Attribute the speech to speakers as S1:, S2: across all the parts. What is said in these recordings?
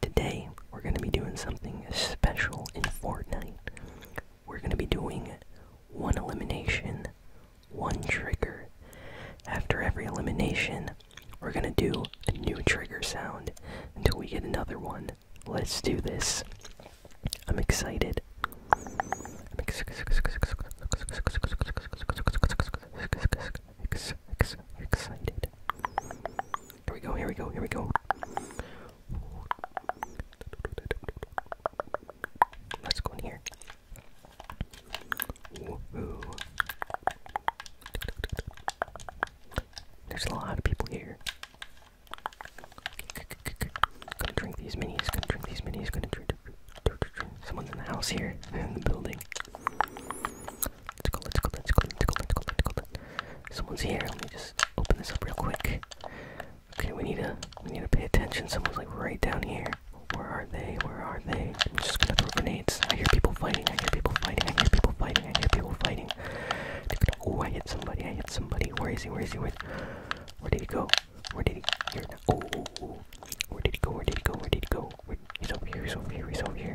S1: Today, we're going to be doing something special in Fortnite. We're going to be doing one elimination, one trigger. After every elimination, we're going to do a new trigger sound until we get another one. Let's do this. I'm excited it. Here we go, here we go, here we go. Let's go in here. There's a lot of people here. Gonna drink these minis, gonna drink these minis, gonna drink. Someone's in the house here, in the building. Let's go, let's go, let's go, let's go, let's go, let's go. Someone's here. Let me just open this up real quick. Okay, we need to we need to pay attention. Someone's like right down here. Where are they? Where are they? I'm just gonna throw grenades. I hear people fighting. I hear people fighting. I hear people fighting. I hear people fighting. Oh, I hit somebody. I hit somebody. Where is he? Where is he? Where, where did he go? Where did he? Here, oh, oh, oh, Where did he go? Where did he go? Where did he go? He's over here. He's over here. He's over here.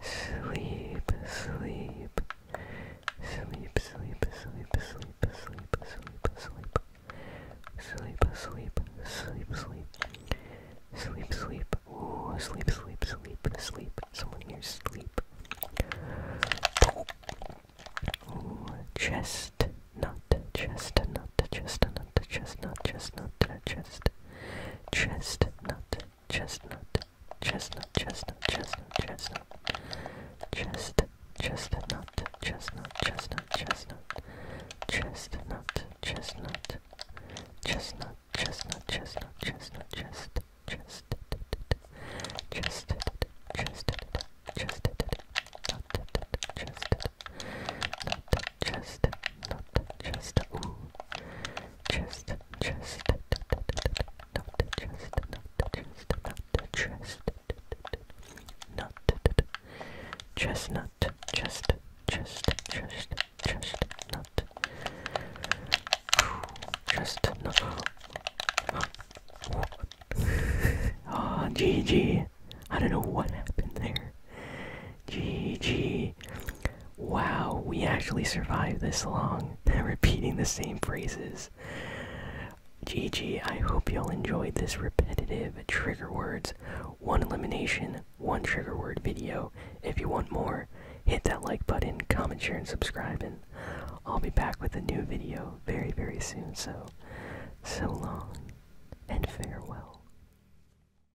S1: Sleep, sleep, sleep, sleep, sleep, sleep, sleep, sleep, sleep, sleep, sleep, sleep, sleep, sleep, sleep, ooh, sleep, sleep, sleep, sleep, someone here sleep. Ooh, chestnut, chestnut, chestnut, chestnut, chestnut, chest, chestnut, chestnut chestnut, chestnut, chestnut, chestnut, chest, chestnut, chestnut, chestnut, chestnut, chestnut, chestnut, chestnut, chestnut, chestnut, chestnut, chest, chest, chest, chest, chest, not chest, not chest, not chest, ooh chest, chest, not the chest, not the chest, not the chest, not chestnut, chest, chest, chest, chestnut, chestnut. Oh, GG. I don't know what happened there. GG. Wow, we actually survived this long, repeating the same phrases. GG, I hope y'all enjoyed this repetitive trigger words, one elimination, one trigger word video. If you want more, hit that like button, comment, share, and subscribe, and I'll be back with a new video very, very soon. So, so long and farewell.